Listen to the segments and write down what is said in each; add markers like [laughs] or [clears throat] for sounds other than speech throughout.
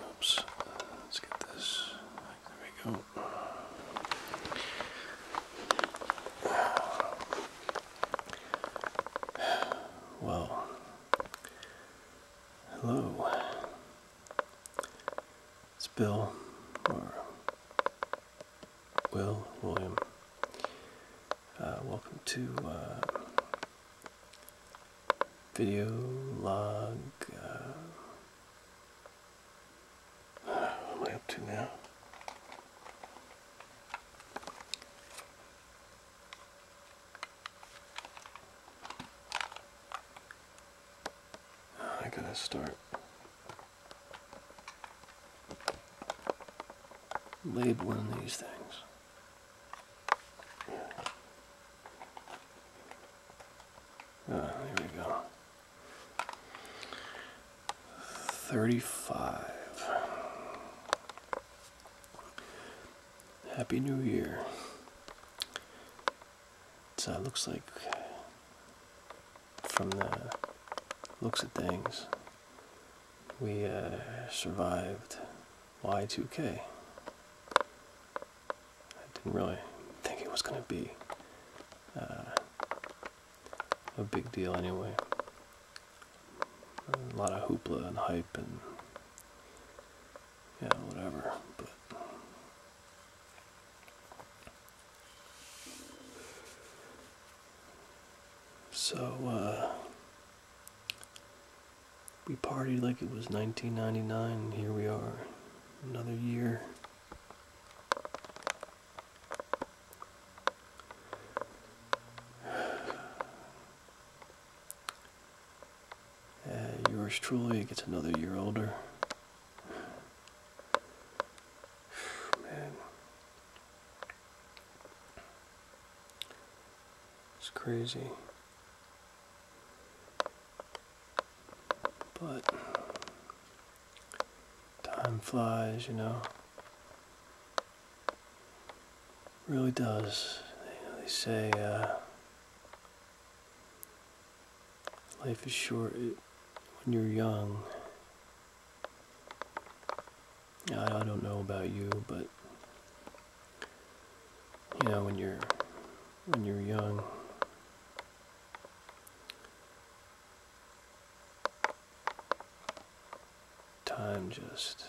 Oops. Let's get this. There we go. Well, hello. It's Bill or Will, William. Uh, welcome to uh, video log. Uh, what am I up to now? I gotta start labeling these things. Ah, there we go. 35. Happy New Year. So it looks like from the looks of things, we uh, survived Y2K. I didn't really think it was going to be uh, a big deal anyway. A lot of hoopla and hype and yeah, whatever. But so, uh, we partied like it was 1999, and here we are, another year. [sighs] Uh, yours truly gets another year older. Man. It's crazy. But time flies, you know. really does. they say uh, Life is short when you're young. I, I don't know about you, but you know when you're when you're young. Time just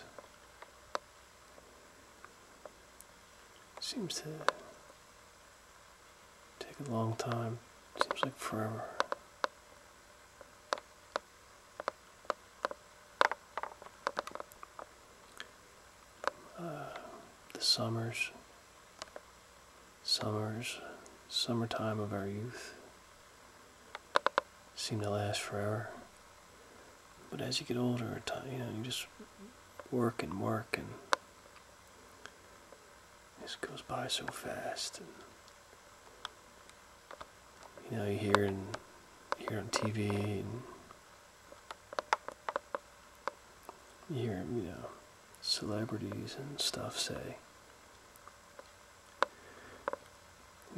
seems to Take a long time. Seems like forever. Uh, the summers, summers, summertime of our youth seem to last forever. But as you get older, you know, you just work and work and this goes by so fast. you know, you hear and hear on TV and you hear, you know, celebrities and stuff say,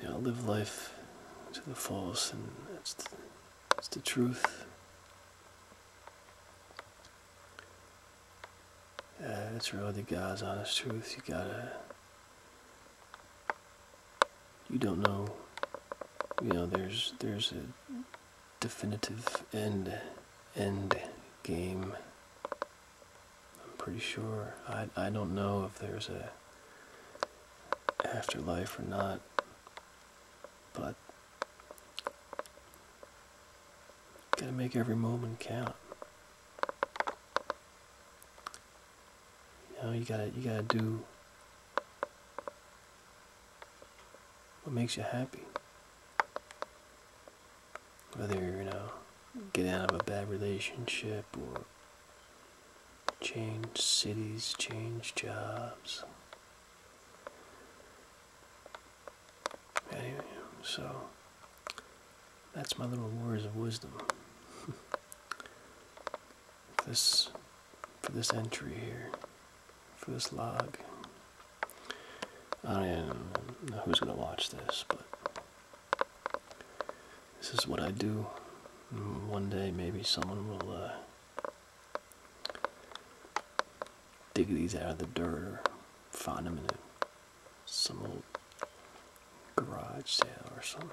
you know, live life to the fullest, and that's that's the truth. Yeah, uh, it's really guys. honest truth. You gotta. You don't know. You know, there's there's a definitive end end game. I'm pretty sure. I I don't know if there's a afterlife or not, but Gotta make every moment count. You know, you gotta you gotta do what makes you happy. Whether you know, get out of a bad relationship or change cities, change jobs. Anyway, so that's my little words of wisdom. [laughs] this for this entry here, for this log. I don't know who's gonna watch this, but this is what I do. Mm, one day, maybe someone will uh, dig these out of the dirt or find them in some old garage sale or something.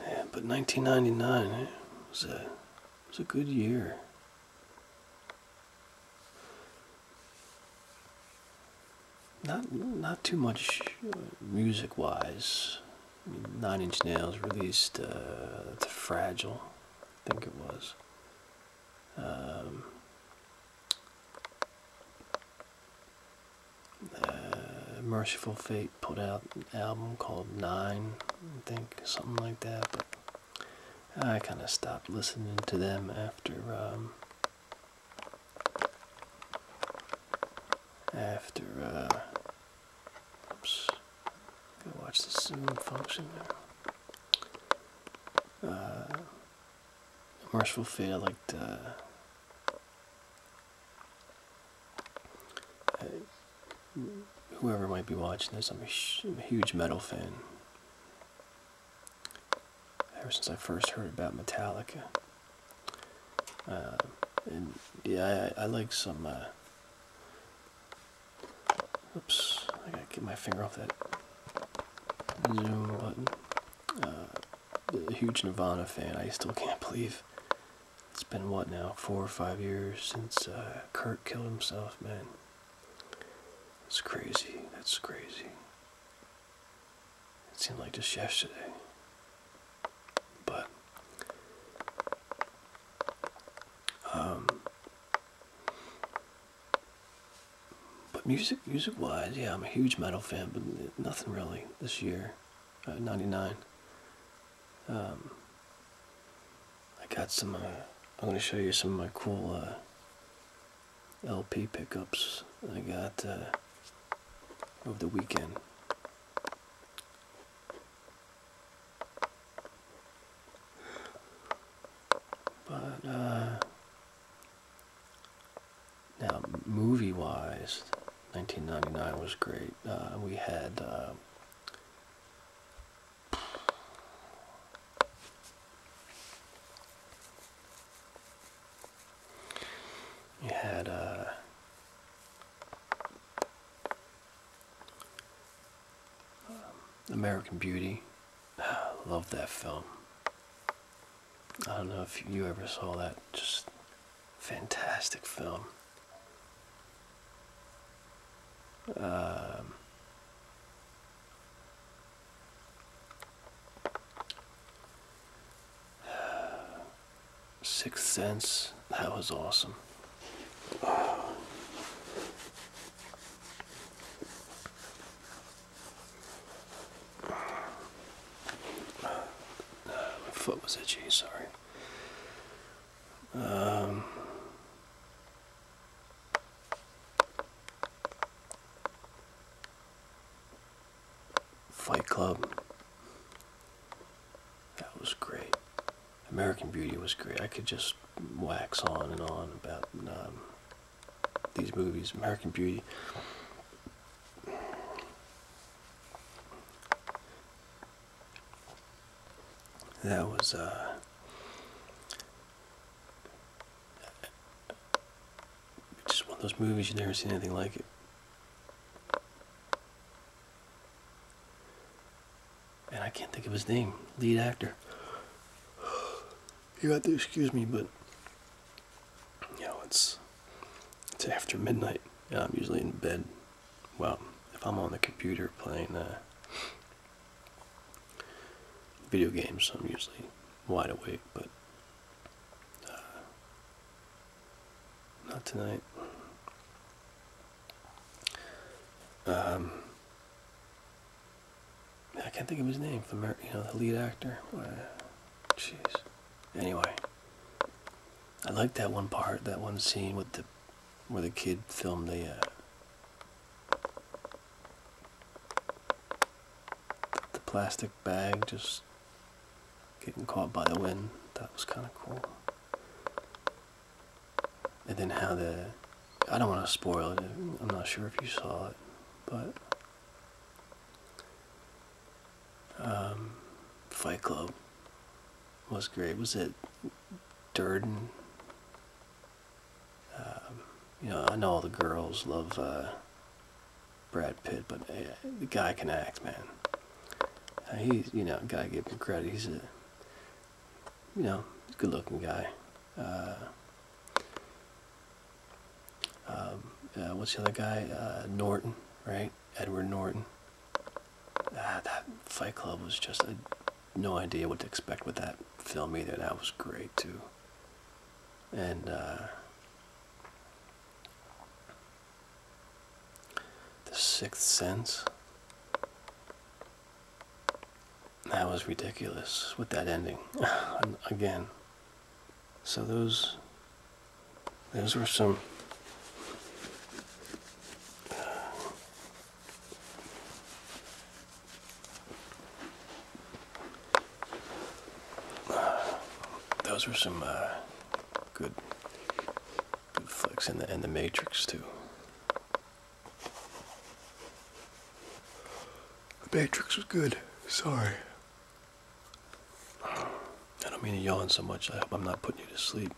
Yeah, but 1999 eh, was a was a good year. Not not too much uh, music wise. Nine Inch Nails released uh, the Fragile think it was. Um, uh, Merciful Fate put out an album called Nine, I think, something like that. But I kind of stopped listening to them after um, after uh, watch the zoom function there. Uh, merciful fate. Uh, whoever might be watching this, I'm a huge metal fan. Ever since I first heard about Metallica. Uh, and yeah, I, like some uh, Oops, I gotta get my finger off that zoom button. Uh, huge Nirvana fan. I still can't believe it's been what now, four or five years since uh, Kurt killed himself, man. it's crazy. That's crazy. It seemed like just yesterday. But um, but music, music wise, yeah, I'm a huge metal fan, but nothing really this year. Uh, 99. Um, I got some, uh, I'm going to show you some of my cool uh, LP pickups I got uh, over the weekend. But uh, now, movie-wise, 1999 was great. we uh, had. we had uh, uh American Beauty. [sighs] Love that film. I don't know if you ever saw that. Just fantastic film. Um, [sighs] Sixth Sense. That was awesome my foot was itchy, sorry. Um, Fight Club. That was great. American Beauty was great. I could just wax on and on about um, these movies. American Beauty. That was uh, just one of those movies you never seen anything like it and I can't think of his name, lead actor. You have to excuse me, but you know it's it's after midnight, and I'm usually in bed. Well, if I'm on the computer playing uh, video games, I'm usually wide awake, but uh, not tonight. Um, I can't think of his name. The you know the lead actor. Uh, jeez. Anyway, I liked that one part, that one scene with the where the kid filmed the. Uh, the plastic bag just getting caught by the wind that was kind of cool and then how the I don't want to spoil it. I'm not sure if you saw it, but um, Fight Club was great. Was it Durden? Um, you know, I know all the girls love uh, Brad Pitt, but uh, the guy can act, man. Uh, he's you know, gotta give him credit. He's a you know, good looking guy. Uh, um, uh, what's the other guy? Uh, Norton, right? Edward Norton. Ah, that Fight Club was just no idea what to expect with that film either. That was great too. And The Sixth Sense. That was ridiculous with that ending. [sighs] Again. So those those were some [sighs] those were some uh, good good flicks in the and the Matrix too. The Matrix was good. Sorry. I don't mean to yawn so much. I hope I'm not putting you to sleep.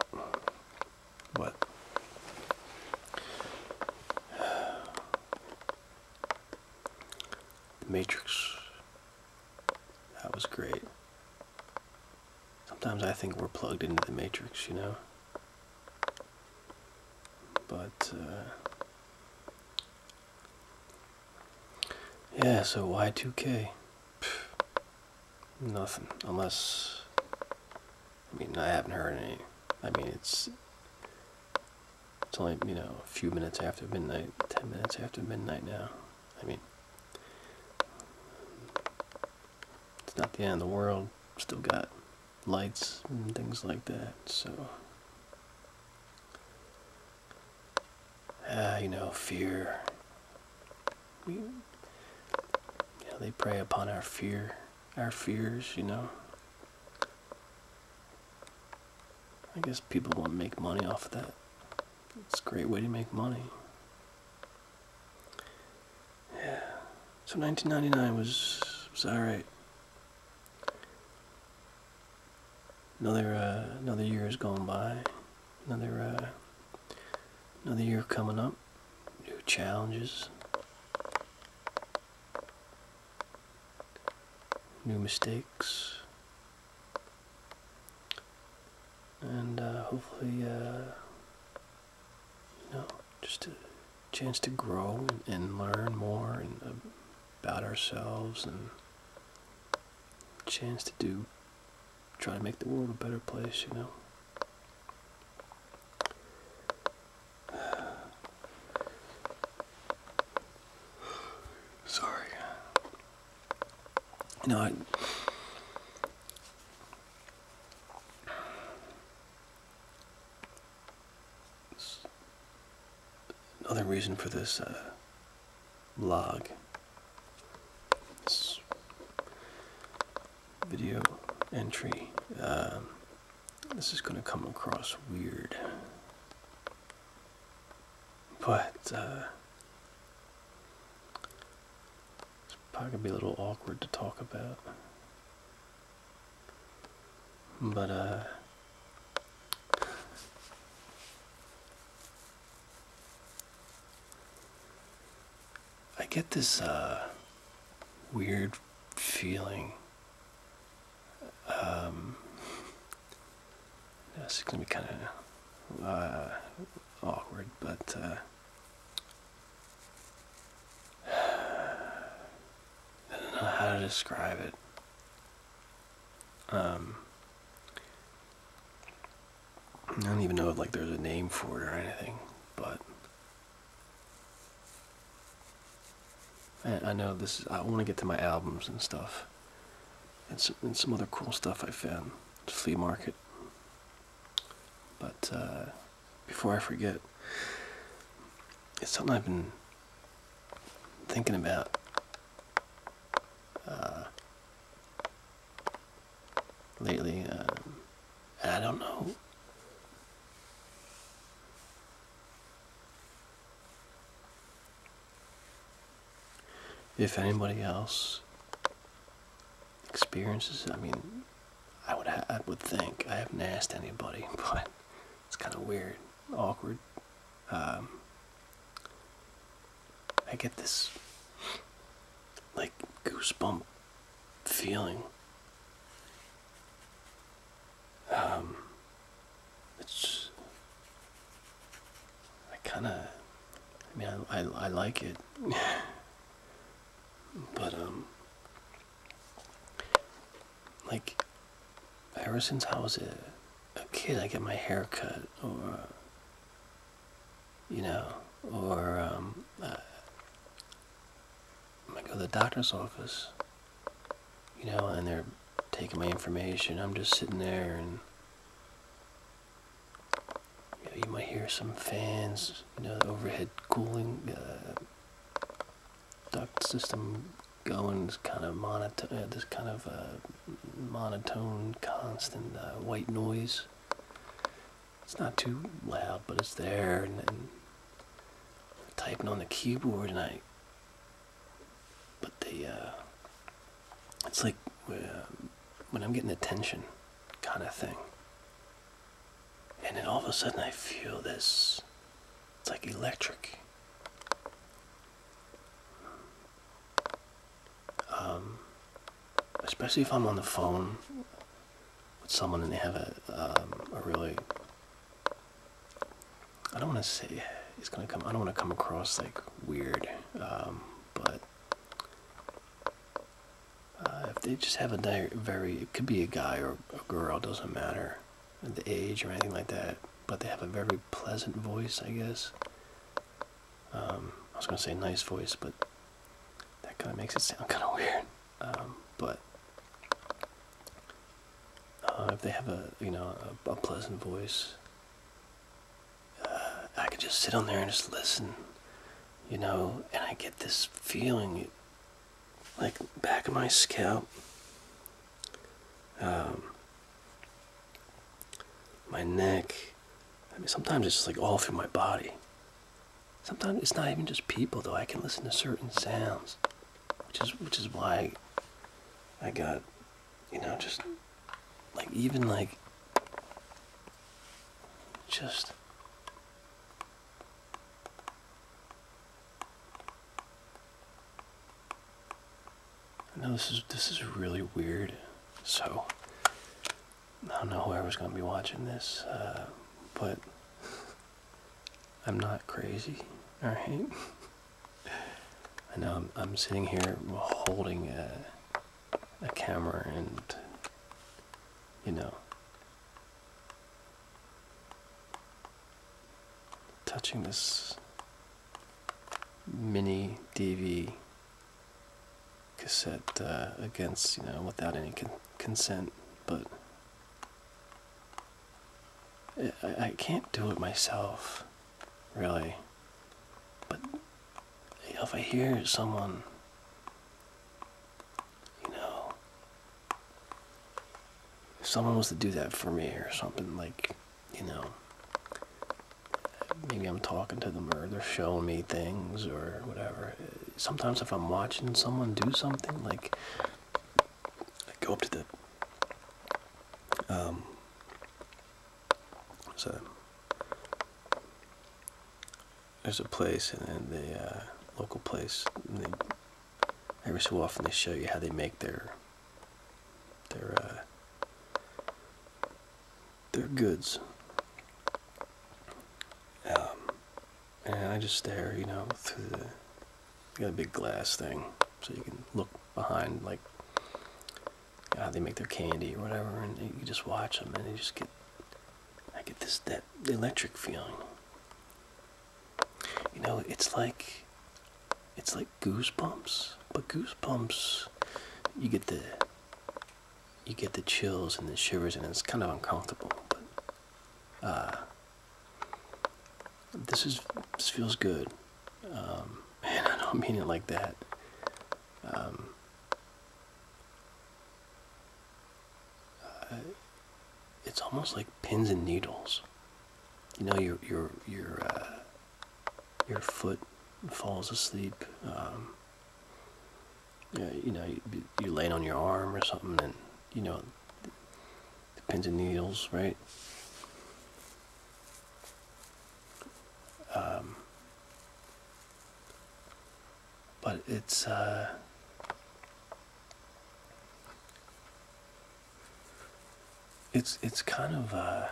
But The Matrix. That was great. Sometimes I think we're plugged into the Matrix, you know? But, uh, yeah, so Y2K, nothing, unless, I mean, I haven't heard any, I mean, it's, it's only, you know, a few minutes after midnight, 10 minutes after midnight now, I mean, it's not the end of the world, still got lights and things like that. So, ah, you know, fear. We, they prey upon our fear, our fears. You know. I guess people want to make money off of that. It's a great way to make money. Yeah. So 1999 was was all right. Another uh, another year has gone by. Another uh, another year coming up. New challenges. New mistakes. And uh, hopefully you just a chance to grow and, learn more uh, about ourselves and a chance to do try to make the world a better place you know [sighs] sorry you I, another reason for this uh, log, this video entry. Um, this is going to come across weird, but uh, it's probably going to be a little awkward to talk about. But, uh, I get this, uh, weird feeling. Um, this is going to be kind of uh, awkward, but I don't know how to describe it. Um, I don't even know if like there's a name for it or anything, but I, know this. I want to get to my albums and stuff, and some, and some other cool stuff I found at flea market, but. Uh, before I forget. It's something I've been thinking about uh, lately. Uh, I don't know. If anybody else experiences, I mean, I would I would think I haven't asked anybody, [laughs] but it's kind of weird, awkward. Um, I get this like goosebump feeling. Um, it's I kind of I mean I, I I like it, [laughs] but um like, ever since I was a, a kid, I get my hair cut, or, you know, or um, uh, I go to the doctor's office, you know, and they're taking my information. I'm just sitting there and you, might hear some fans, you know, overhead cooling uh, duct system going uh, this kind of monotone, this kind of monotone, constant uh, white noise. It's not too loud, but it's there. And, typing on the keyboard, and but they, uh, it's like when I'm getting attention, kind of thing and then all of a sudden I feel this it's like electric um, especially if I'm on the phone with someone and they have a, um, a really I don't want to say it's gonna come I don't want to come across like weird um, but uh, if they just have a very, it could be a guy or a girl, doesn't matter, the age or anything like that, but they have a very pleasant voice, I guess. Um, I was going to say nice voice, but that kind of makes it sound [laughs] kind of weird. Um, but uh, if they have a, you know, a, a pleasant voice, uh, I can just sit on there and just listen, you know, and I get this feeling like back of my scalp, um, my neck. I mean, sometimes it's just like all through my body. Sometimes it's not even just people though. I can listen to certain sounds, which is which is why I got, you know, just like even like just I know this is this is really weird, so I don't know who whoever's gonna be watching this, uh, but I'm not crazy, all right? [laughs] I know I'm, I'm sitting here holding a, a camera and you know touching this mini DV cassette uh, against, you know, without any consent, but I, can't do it myself, really. But if I hear someone, you know, if someone was to do that for me or something, like, you know, maybe I'm talking to them or they're showing me things or whatever. Sometimes if I'm watching someone do something, like, go up to the, um, there's a, there's a place and the uh, local place, every so often they show you how they make their their uh, their goods. Um, and I just stare, you know, through the you got a big glass thing, so you can look behind, like how they make their candy or whatever, and you just watch them, and you just get I get this that electric feeling. You know, it's like it's like goosebumps, but goosebumps you get the you get the chills and the shivers and it's kind of uncomfortable, but uh, this is feels good. Um, [laughs] and I don't mean it like that. Um, uh, it's almost like pins and needles. You know, your your your uh, your foot falls asleep. Um, you know, you, you're laying on your arm or something, and you know, the pins and needles, right? Um, but it's uh, it's it's kind of uh,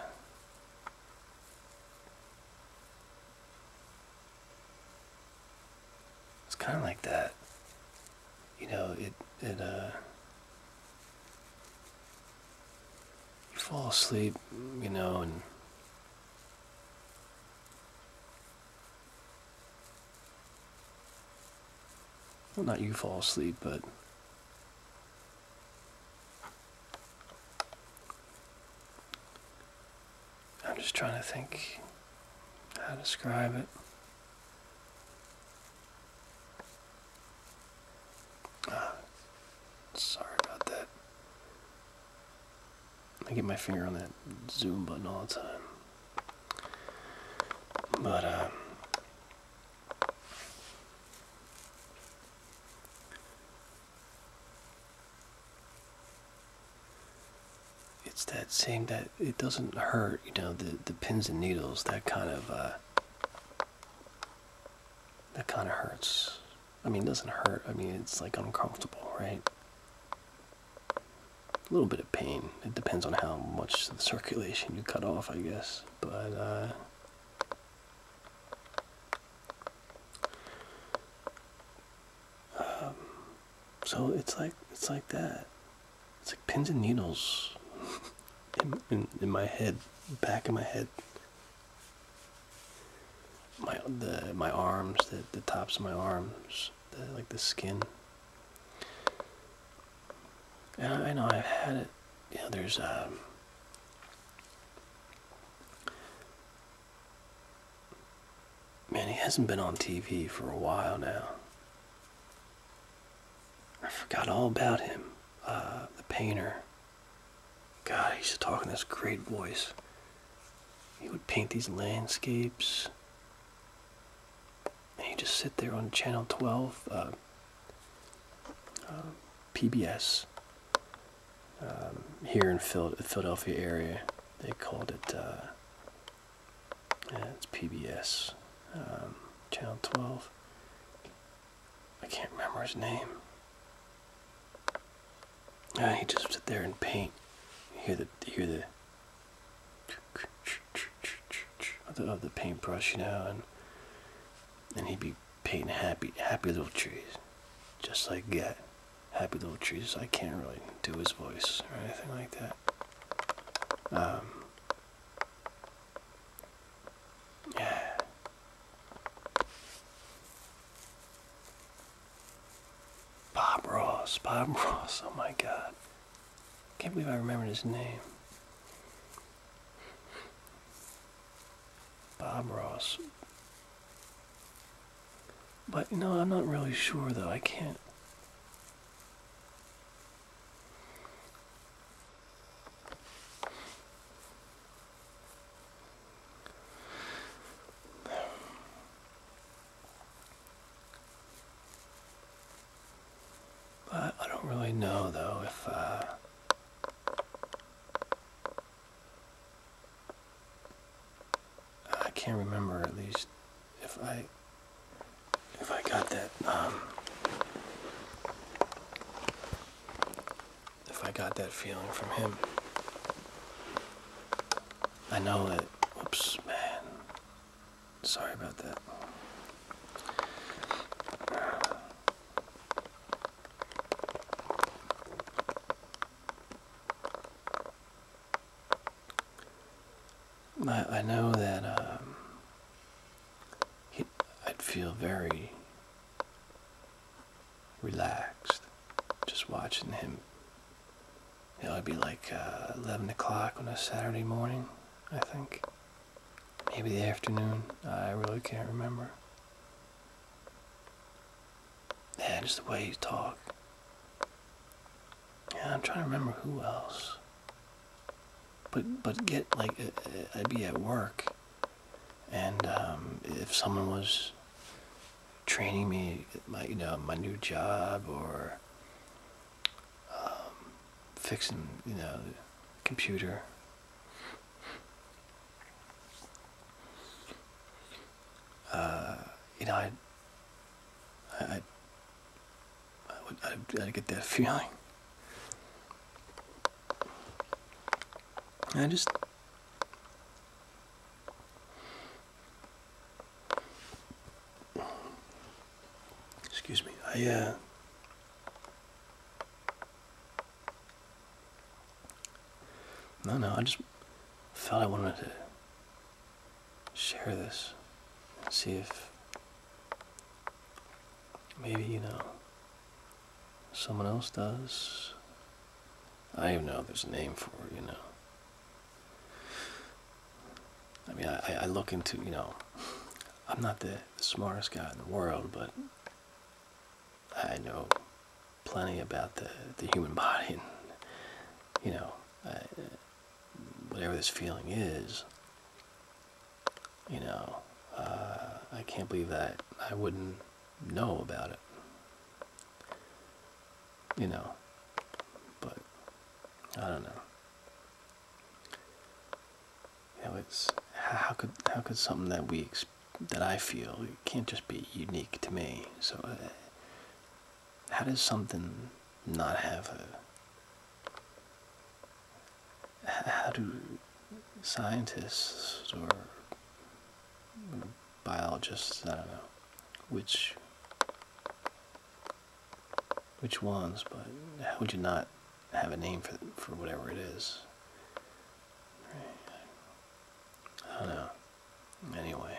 it's kind of like that. You know, it it uh, you fall asleep, you know, and well, not you fall asleep, but I'm just trying to think how to describe it. Ah, sorry about that. I get my finger on that zoom button all the time. But, uh, it's that same that it doesn't hurt, you know, the, the pins and needles, that kind of, uh, that kind of hurts. I mean, doesn't hurt. I mean, it's like uncomfortable, right? a little bit of pain. It depends on how much the circulation you cut off, I guess. But uh, um, so it's like it's like that. It's like pins and needles [laughs] in, my head, back of my head. My the my arms, the the tops of my arms, like the skin. And I, know I've had it, Yeah, there's, um, man, he hasn't been on TV for a while now. I forgot all about him, uh, the painter. God, he's talking in this great voice. He would paint these landscapes. He just sit there on channel 12 uh, uh, pbs um, here in Phil philadelphia area they called it uh, it's pbs um, channel 12 i can't remember his name uh, he just sit there and paint hear the hear the of the, paintbrush, you know, and and he'd be painting happy, happy little trees, just like Get. Happy little trees. I can't really do his voice or anything like that. Um, yeah. Bob Ross, Bob [laughs] Ross. Oh my God. Can't believe I remembered his name. Bob Ross. But no, I'm not really sure though. I can't. I don't really know though if uh, I can't remember at least if I if I got that um, if I got that feeling from him. I know it. Oops, man. Sorry about that. I, I know that um, I'd feel very relaxed just watching him it would be like uh, 11 o'clock on a Saturday morning, I think. Maybe the afternoon. I really can't remember. Yeah, just the way you talk. Yeah, I'm trying to remember who else. But but get like uh, uh, I'd be at work, and um, if someone was training me, my you know my new job or um, fixing, you know, the computer. Uh, you know, I, I, I, would, I'd, I'd get that [laughs] feeling. I just Excuse me. I uh, no, no. I just felt I wanted to share this and see if maybe you know someone else does. I don't know there's a name for it, you know. I mean, I, I look into, you know, I'm not the, smartest guy in the world, but I know plenty about the, the human [laughs] body and, you know, whatever this feeling is, you know, uh, I can't believe that I wouldn't know about it. You know, but I don't know. You know, it's how could how could something that we that I feel can't just be unique to me. So, uh, how does something not have a? How do scientists or biologists, I don't know, which which ones, but how would you not have a name for for whatever it is? I don't know. Anyway,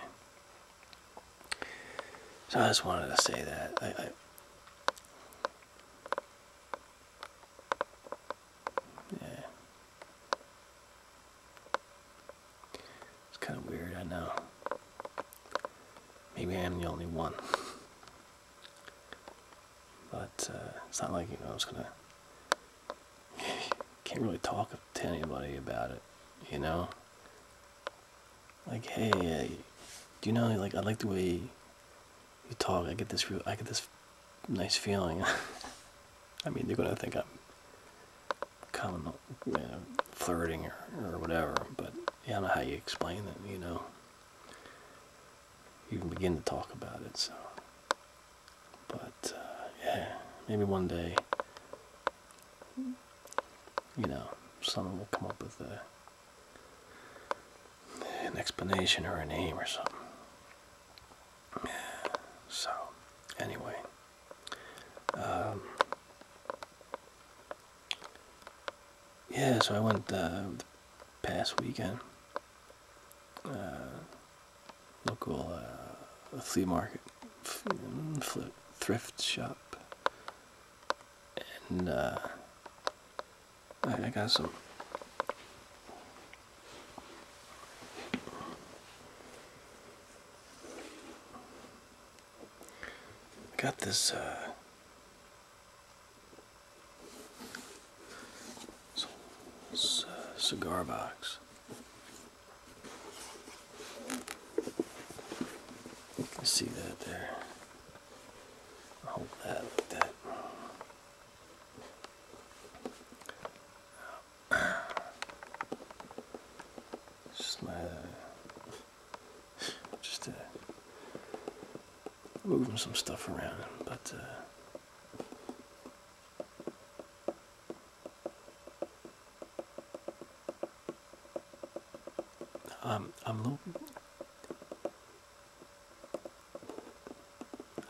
so I just wanted to say that yeah. It's kind of weird, I know. Maybe I am the only one. But uh, it's not like you know I was gonna. Can't really talk to anybody about it, you know. Like, hey, uh, do you know? Like, I like the way you talk. I get this. Real, I get this nice feeling. [laughs] I mean, they're gonna think I'm kind of you know, flirting or, or whatever, but I don't know how you explain it, you know. You can begin to talk about it, so. But, uh, yeah, maybe one day, you know, someone will come up with an explanation or a name or something. So, anyway, um, yeah, so I went uh, the past weekend. Uh, local uh, flea market, thrift shop, and uh, I got some got this uh, uh, cigar box. You can see that there. Hold that like that. Just my uh, just uh, moving some stuff around, but. Uh, I'm, I'm a little,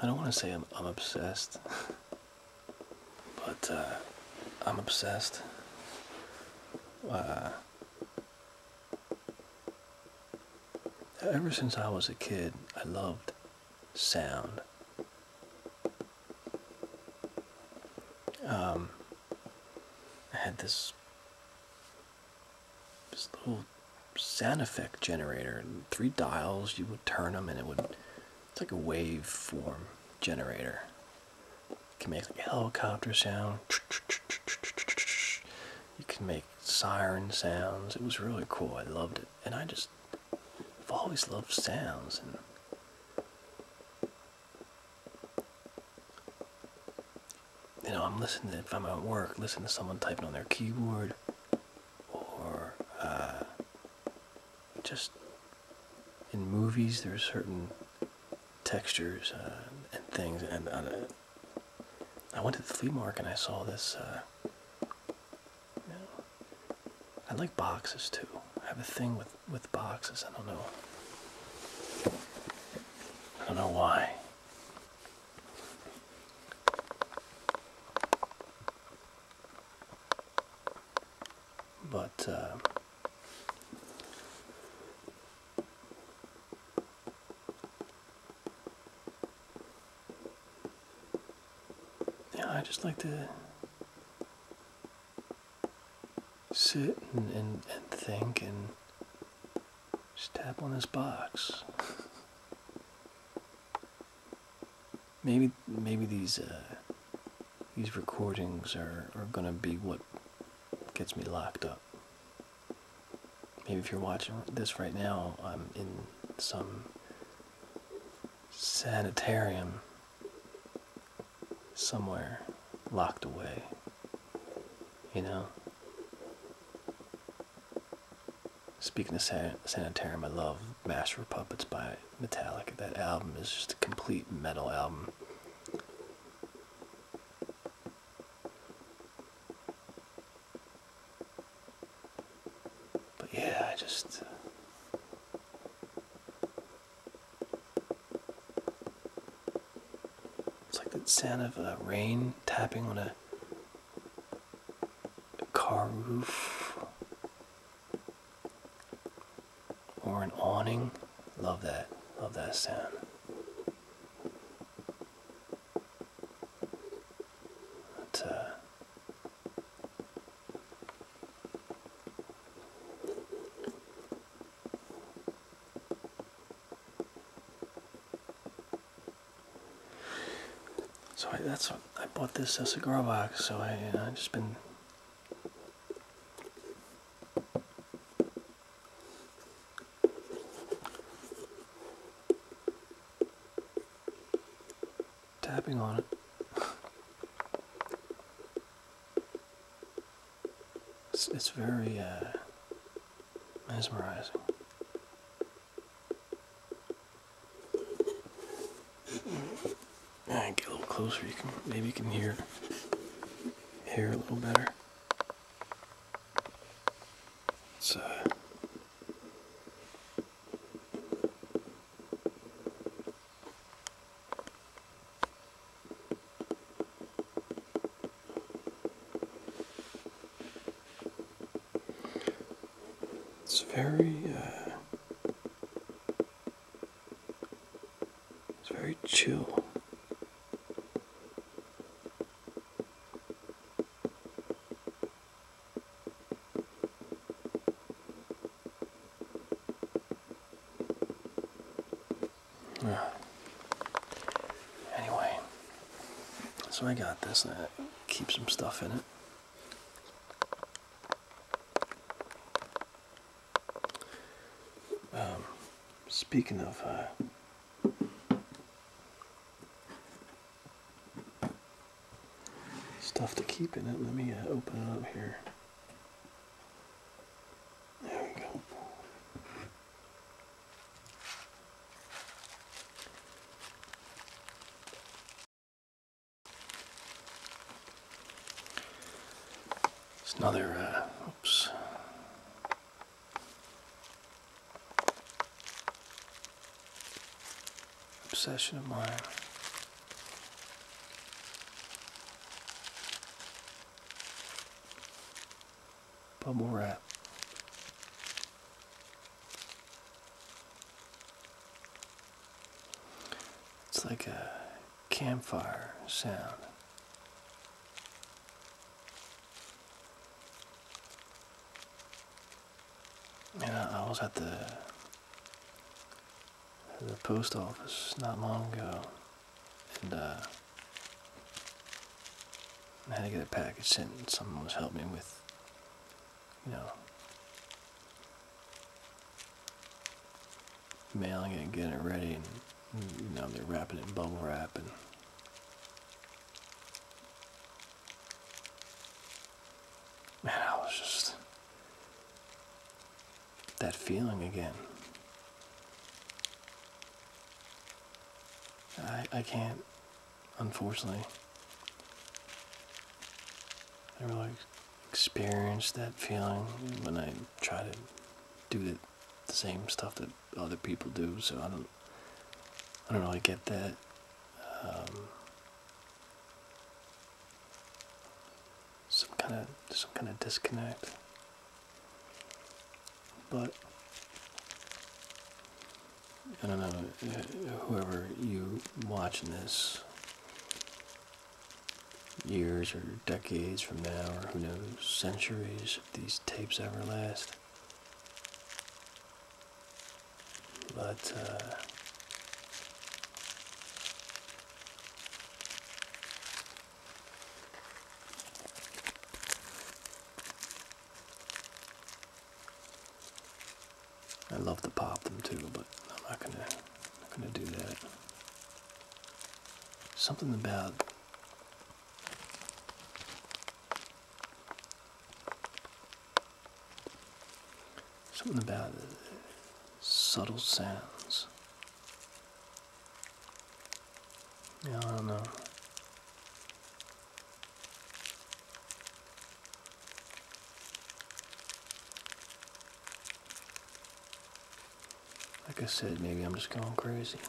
I don't want to say I'm, I'm obsessed, but uh, I'm obsessed. Uh, Ever since I was a kid, I loved sound. Um, I had this little sound effect generator, three dials. You would turn them, and it would. It's like a waveform generator. You can make like a helicopter sound. You can make siren sounds. It was really cool. I loved it. And I just I've always loved sounds and you know, I'm listening if I'm at work, listening to someone typing on their keyboard or uh, just in movies there are certain textures uh, and things. And uh, I went to the flea market and I saw this. Uh, I like boxes too. I have a thing with with boxes. I don't know. I don't know why. But yeah, I just like to sit and, and, think and just tap on this box. [laughs] maybe maybe these uh, these recordings are, are gonna be what gets me locked up. Maybe if you're watching this right now, I'm in some sanitarium somewhere locked away. You know? Speaking of Sanitarium, I love Master of Puppets by Metallica. That album is just a complete metal album. But yeah, I just. Uh, it's like the sound of rain tapping on a, a car roof or an awning. Love that. Love that sound. Uh, so I, that's I bought this as a grow box. So I, you uh, know, I just been Tapping on it. It's, it's very uh, mesmerizing. Right, get a little closer. You can maybe you can hear hear a little better. So. It's very uh, it's very chill. Ah. Anyway, so I got this. to keep some stuff in it. Um, speaking of uh, Stuff to keep in it. Let me uh, open it up here. There we go. It's another, uh, oops obsession of mine. Bubble wrap. It's like a campfire sound. Yeah, I, was at the the post office not long ago, and uh, I had to get a package sent. Someone was helping me with, you know, mailing it, getting it ready, and now they're wrapping it in bubble wrap and man, I just that feeling again. I I can't, unfortunately. I really experience that feeling when I try to do the same stuff that other people do. So I don't, I don't really get that. Um, some kind of some kind of disconnect, but I don't know whoever you watching this years or decades from now or who knows centuries these tapes ever last. But, uh, I love to pop them too, but I'm not gonna, not gonna do that. Something about Something about subtle sounds. Yeah, I don't know. Like I said, maybe I'm just going crazy.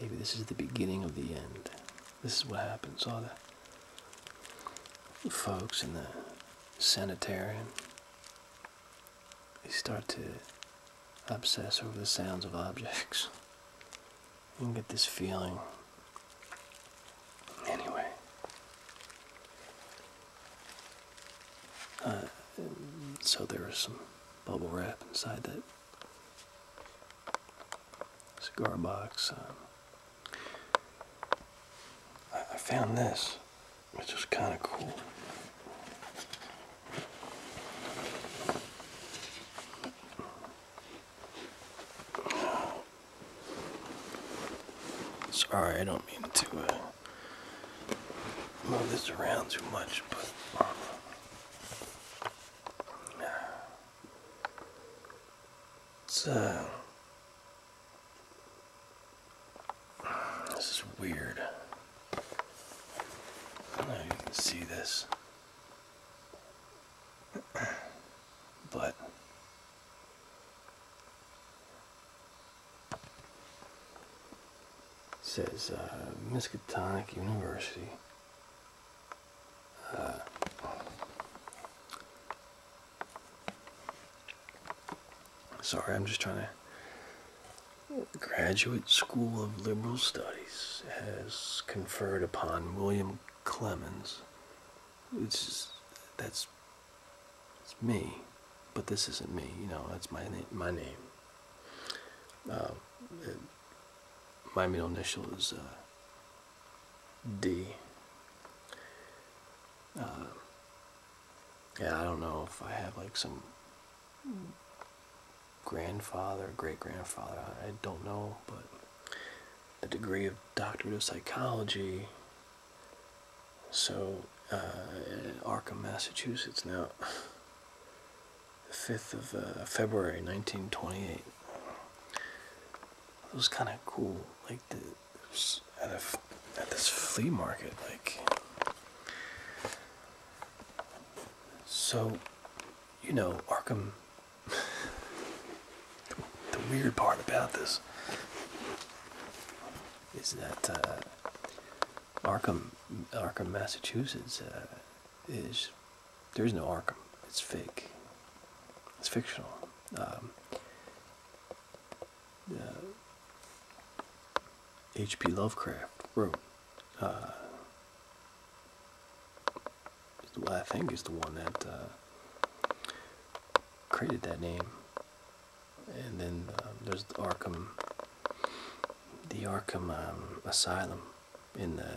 Maybe this is the beginning of the end. This is what happens. All the folks in the sanitarium, they start to obsess over the sounds of objects. You can get this feeling. Anyway, uh, so there was some bubble wrap inside that cigar box. Um, I, found this, which is kind of cool. Sorry, I don't mean to uh, move this around too much, but it's uh, this is weird. I don't know if you can see this, [clears throat] but says uh, Miskatonic University. Uh, sorry, I'm just trying to. Graduate School of Liberal Studies has conferred upon William Clemens. It's that's me, but this isn't me. You know, that's my my name. Um, my middle initial is uh, D. Uh, yeah, I don't know if I have like some grandfather, great grandfather. I don't know, but the degree of Doctor of psychology. So, uh, Arkham, Massachusetts now the 5th of uh, February 1928. It was kind of cool, like at, a, at this flea market, like. So, you know, Arkham. [laughs] the, weird part about this is that uh, Arkham, Arkham, Massachusetts uh, is there's no Arkham. It's fake. It's fictional. Um, H.P. Uh, Lovecraft wrote. Uh, I think is the one that created that name. And then um, there's Arkham the Arkham um, Asylum in the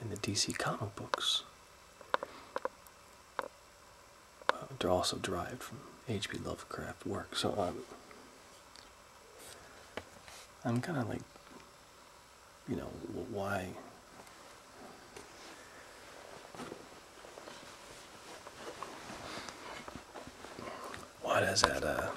in the DC comic books. Uh, they're also derived from H.P. Lovecraft work. So um, I'm kind of like, you know, why? What is that? Uh,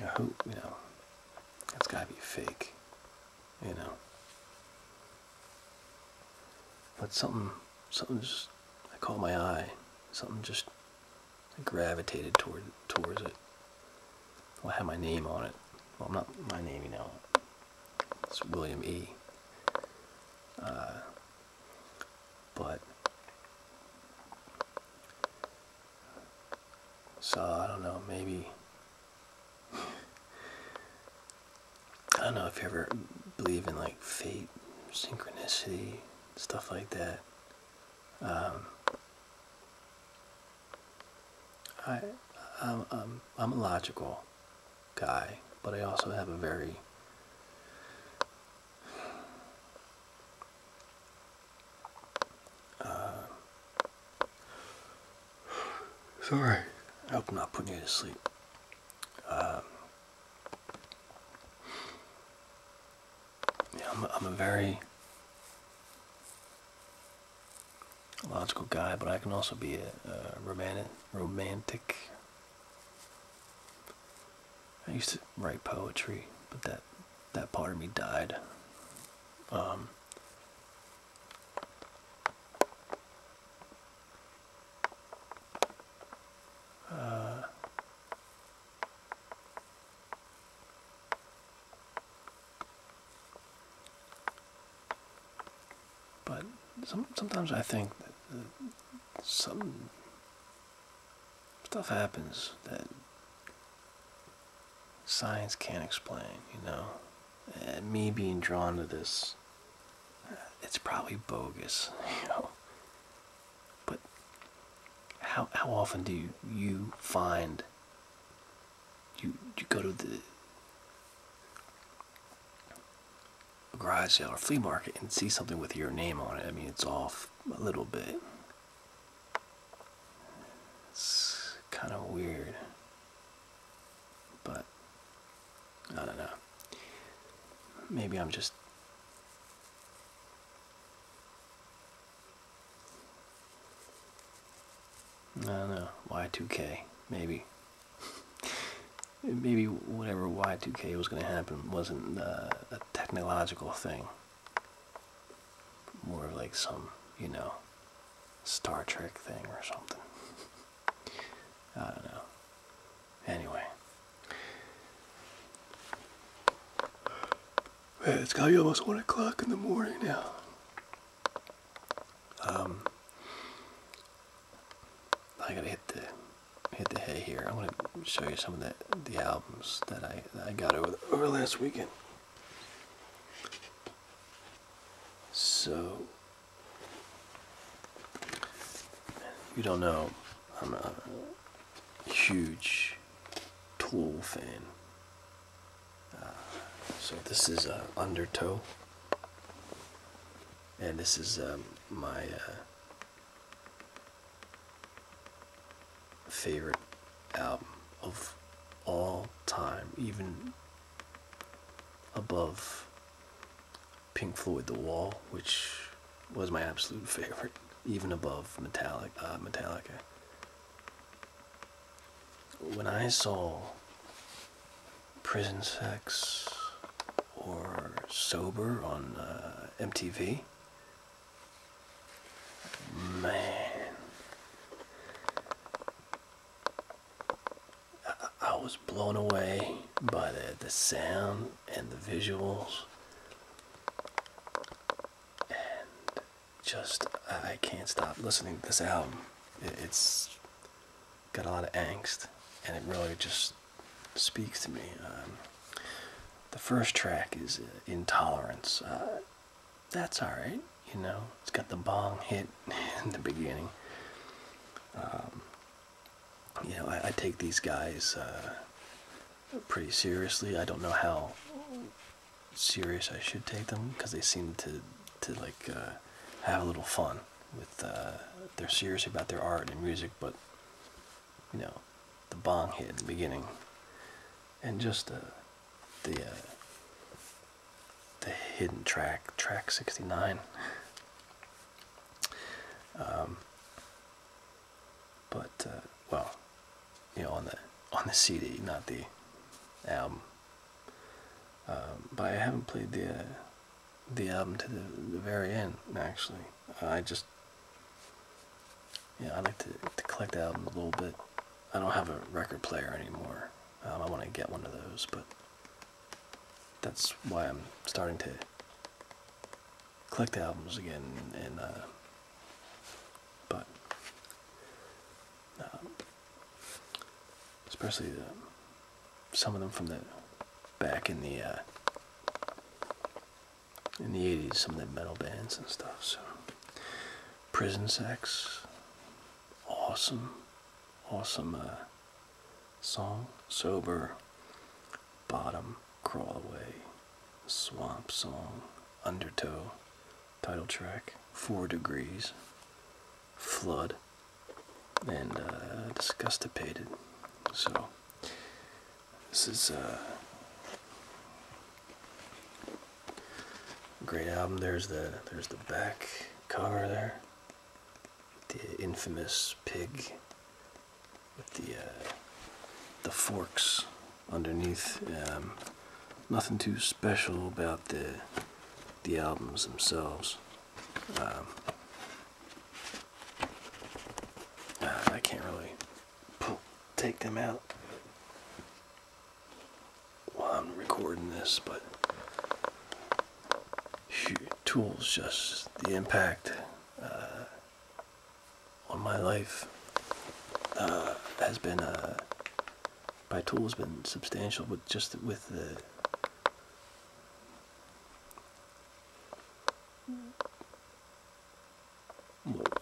I hope, you know, that's gotta be fake, you know. But something, something just, I caught my eye. Something just I gravitated toward towards it. I have my name on it. Well, I'm not my name, you know. It's William E. Uh, but so I don't know, maybe. [laughs] I don't know if you ever believe in like fate, synchronicity, stuff like that. Um, I, I'm, I'm, I'm a logical guy, but I also have a very uh, sorry. I hope I'm not putting you to sleep. Um, yeah, I'm, a very logical guy, but I can also be a, a romantic. Romantic. I used to write poetry, but that that part of me died. Um, uh, but sometimes I think that some stuff happens that science can't explain, you know. And me being drawn to this, uh, it's probably bogus, [laughs] you know. But how, how often do you find you you go to the garage sale or flea market and see something with your name on it. I mean, it's off a little bit. It's kind of weird, but I don't know. Maybe I'm just I don't know, Y2K, maybe. [laughs] maybe whatever Y2K was going to happen wasn't uh, a technological thing. More like some, you know, Star Trek thing or something. [laughs] I don't know. Anyway. Man, it's gotta be almost one o'clock in the morning now. Um, I gotta hit the hit the hay here. I want to show you some of the the albums that I I got over the, over last weekend. So you don't know, I'm a huge Tool fan. Uh, so this is uh, Undertow, and this is um, my uh, favorite album of all time, even above Pink Floyd The Wall, which was my absolute [laughs] favorite, even above Metallic, uh, Metallica when I saw prison sex or sober on uh, MTV, man, I, was blown away by the, the sound and the visuals just I can't stop listening to this album. It, has got a lot of angst, and it really just speaks to me. Um, the first track is uh, Intolerance. Uh, that's alright, you know. It's got the bong hit [laughs] in the beginning. Um, you know, I, take these guys uh, pretty seriously. I don't know how serious I should take them because they seem to to like uh, have a little fun with uh, they're serious about their art and music, but you know the bong hit in the beginning and just uh, the the the hidden track track 69 um, but well you know, on the on the CD, not the album. Um, but I haven't played the uh, the album to the, the very end. Actually, I just yeah, I like to, to collect albums a little bit. I don't have a record player anymore. Um, I want to get one of those, but that's why I'm starting to collect albums again and uh, but uh, especially some of them from the back in the uh, in the '80s, some of the metal bands and stuff. So, Prison Sex, awesome, awesome uh, song. Sober, Bottom, Crawl Away, Swamp Song, Undertow title track, Four Degrees, Flood, and uh, Disgustipated. So, this is a uh, great album. There's the, there's the back cover there, the infamous pig with the, uh, the forks underneath. Um, nothing too special about the the albums themselves. Um, uh, I can't really take them out while I'm recording this, but tools just the impact uh, on my life uh, has been a by tool has been substantial but just with the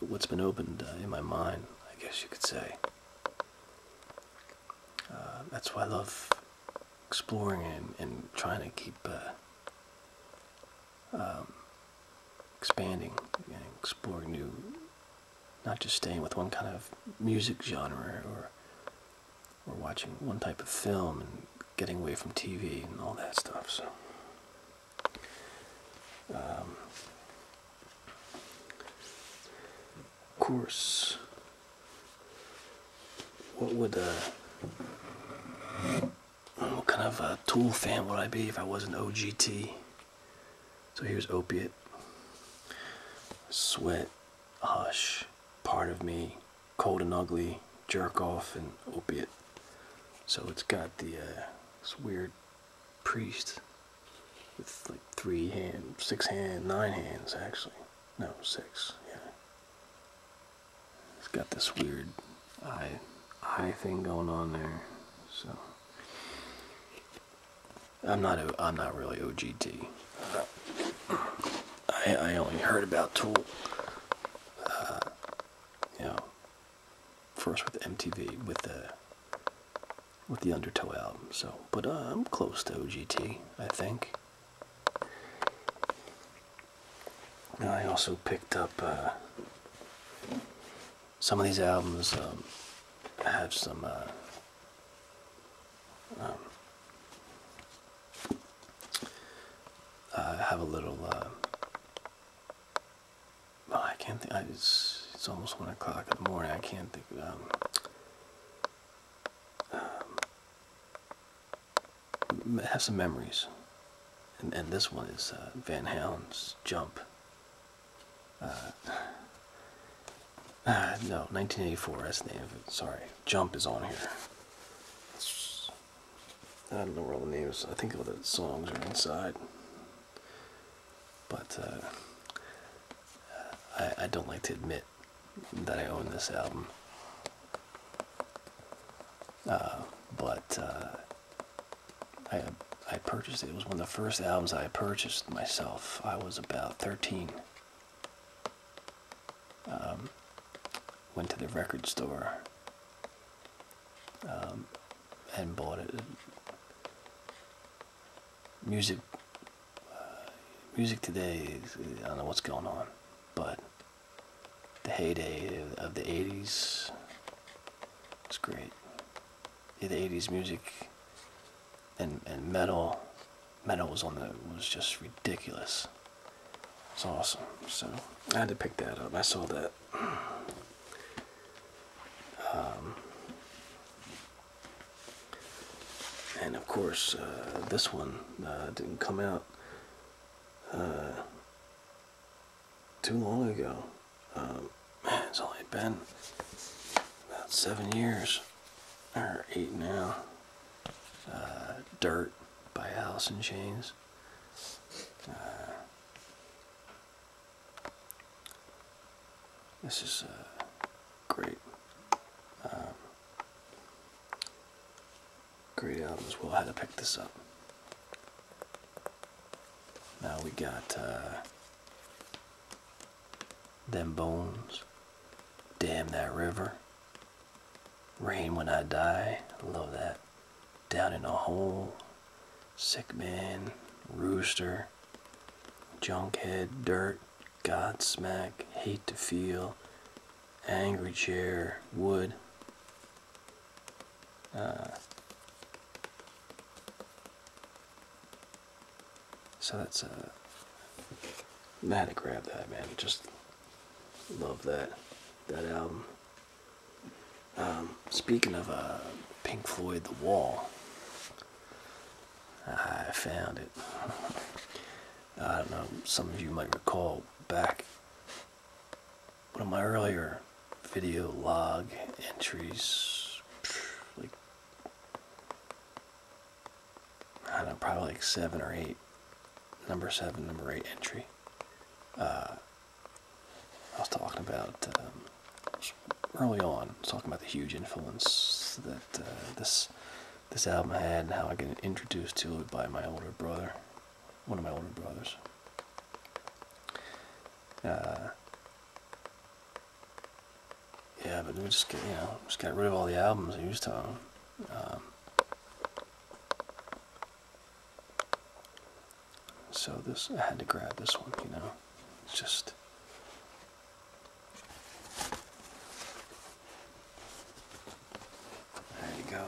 what's been opened uh, in my mind, I guess you could say. Uh, that's why I love exploring and, and trying to keep uh, um, expanding and exploring new, not just staying with one kind of music genre or or watching one type of film and getting away from TV and all that stuff. So. Um, of course, what would a uh, what kind of a tool fan would I be if I wasn't OGT? So here's opiate, sweat, hush, part of me, cold and ugly, jerk off, and opiate. So it's got the uh, this weird priest with like three hands, six hands, nine hands actually. No, six. Yeah. It's got this weird eye eye thing going on there. So I'm not. I'm not really OGT. I only heard about Tool. Uh, you know, first with MTV with the with the Undertow album. So, but uh, I'm close to OGT. I think. I also picked up uh, some of these albums um, have some uh, um, I have a little. Uh, I can't think. it's it's almost one o'clock in the morning. I can't think. Um, um, have some memories, and this one is uh, Van Halen's Jump. Uh, uh, no, 1984. That's the name of it. Sorry, Jump is on here. I don't know where all the names. I think all the songs are inside. But uh, I, don't like to admit that I own this album. but I, I purchased it. It was one of the first albums I purchased myself. I was about 13. Um, went to the record store um, and bought it. Music, uh, music today, I don't know what's going on, but the heyday of the 80s, it's great the 80s music and and metal metal was on the was just ridiculous it's awesome so i had to pick that up i saw that um, and of course uh, this one uh, didn't come out uh, too long ago um, it's only been about seven years, or eight now. Uh, dirt by Alice in Chains. Uh, this is a uh, great. Um, great album as well. I had to pick this up. Now we got them bones. Damn that river. Rain when I die. Love that. Down in a hole. Sick man. Rooster. Junkhead. Dirt. Godsmack. Hate to feel. Angry chair. Wood. Uh, so that's a uh, I to grab that man. Just love that that album. Um, speaking of uh, Pink Floyd, The Wall, I found it. [laughs] I don't know. Some of you might recall back one of my earlier video log entries, like I don't know, probably like seven or eight, number seven, number eight entry. Uh, I was talking about um, early on, talking about the huge influence that uh, this this album had, and how I got introduced to it by my older brother, one of my older brothers. Uh, yeah, but we just you know just got rid of all the albums I used to own. Um, so this I had to grab this one, you know. just there you go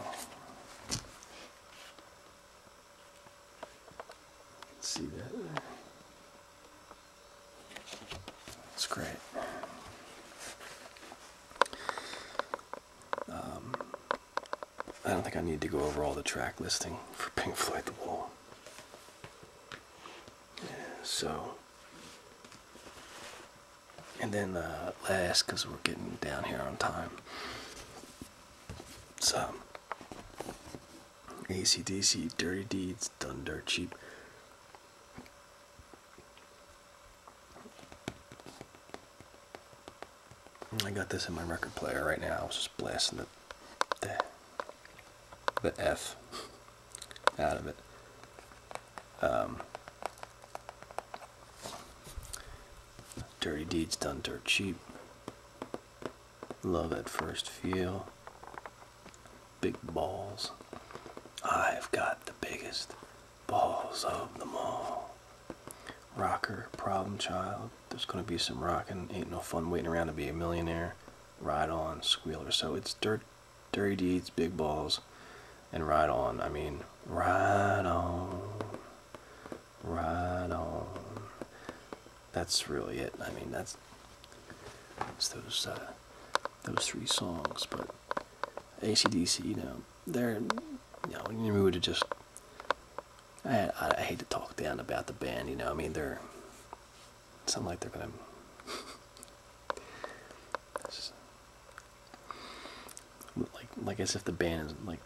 see that. That's great. Um, I don't think I need to go over all the track listing for Pink Floyd The Wall. so, and then uh, last, because we're getting down here on time, so ACDC, Dirty Deeds, Done Dirt Cheap. I got this in my record player right now. I was just blasting the, the, F out of it. Um, dirty Deeds Done Dirt Cheap. Love at first feel. Big balls. I've got the biggest balls of them all. Rocker, problem child. There's gonna be some rocking. Ain't no fun waiting around to be a millionaire. Ride on, squealer. So it's dirt, dirty deeds, big balls, and ride on. I mean, ride on, ride on that's really it. I mean, that's it's those uh, those three songs. But ACDC, you know, they're you know, in the mood to just. I, I, hate to talk down about the band, you know. I mean, they're. It's not like they're gonna. [laughs] like, like as if the band is like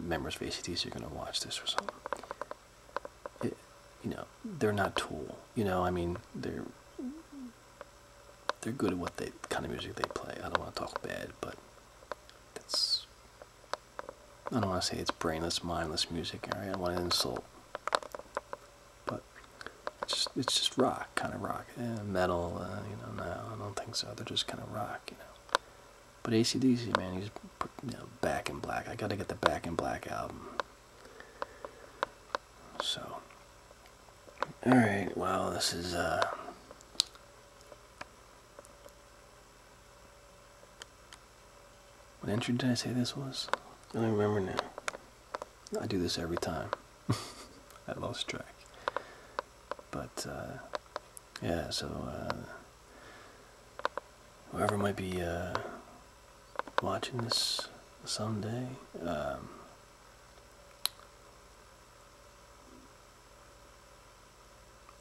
members of ACDC are gonna watch this or something you know, they're not Tool. You know, I mean, they're they're good at what they kind of music they play. I don't want to talk bad, but that's I don't want to say it's brainless, mindless music. All right, I don't want to insult, but it's just, it's just rock, kind of rock, eh, metal. Uh, you know, no, I don't think so. They're just kind of rock, you know. But ACDC, man, he's Back in Black. I gotta get the Back in Black album. So, all right. Well, this is uh. What entry did I say this was? I don't remember now. I do this every time. [laughs] I lost track. But, uh, yeah, so, uh, whoever might be uh, watching this someday. Um,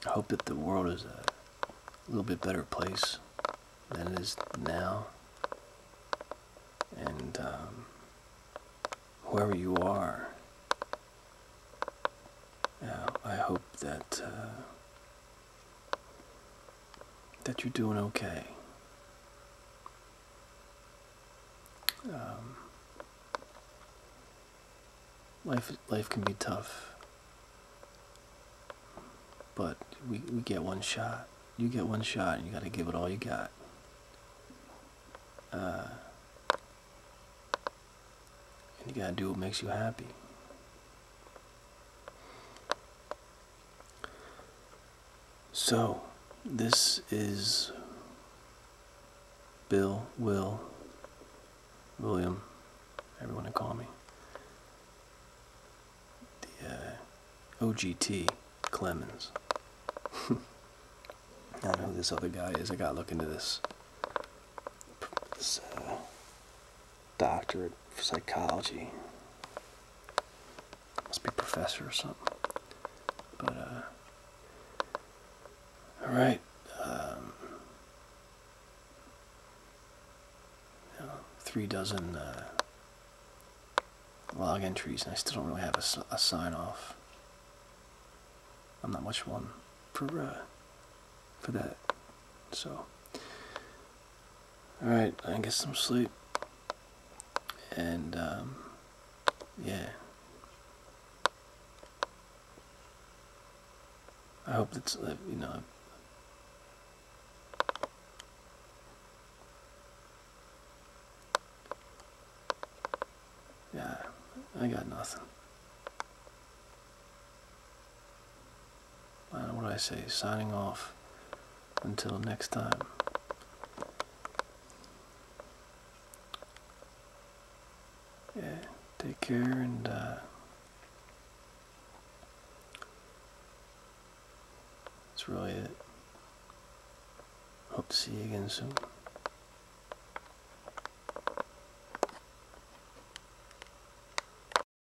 I hope that the world is a little bit better place than it is now. And um, wherever you are, uh, I hope that uh, that you're doing okay. Um, life life can be tough, but we we get one shot. You get one shot, and you got to give it all you got. Uh, and you got to do what makes you happy. So, this is Bill, Will, William, everyone to call me. The uh, OGT Clemens. [laughs] I don't know who this other guy is. I gotta look into this. This, uh, doctorate for psychology. Must be professor or something. But uh, all right. Um, three dozen uh, log entries, and I still don't really have a, a sign off. I'm not much one for uh, for that. So Alright, I get some sleep. And, um, yeah. I hope it's, uh, you know, yeah, I got nothing and what do I say, signing off until next time. Yeah, take care and uh, that's really it. Hope to see you again soon.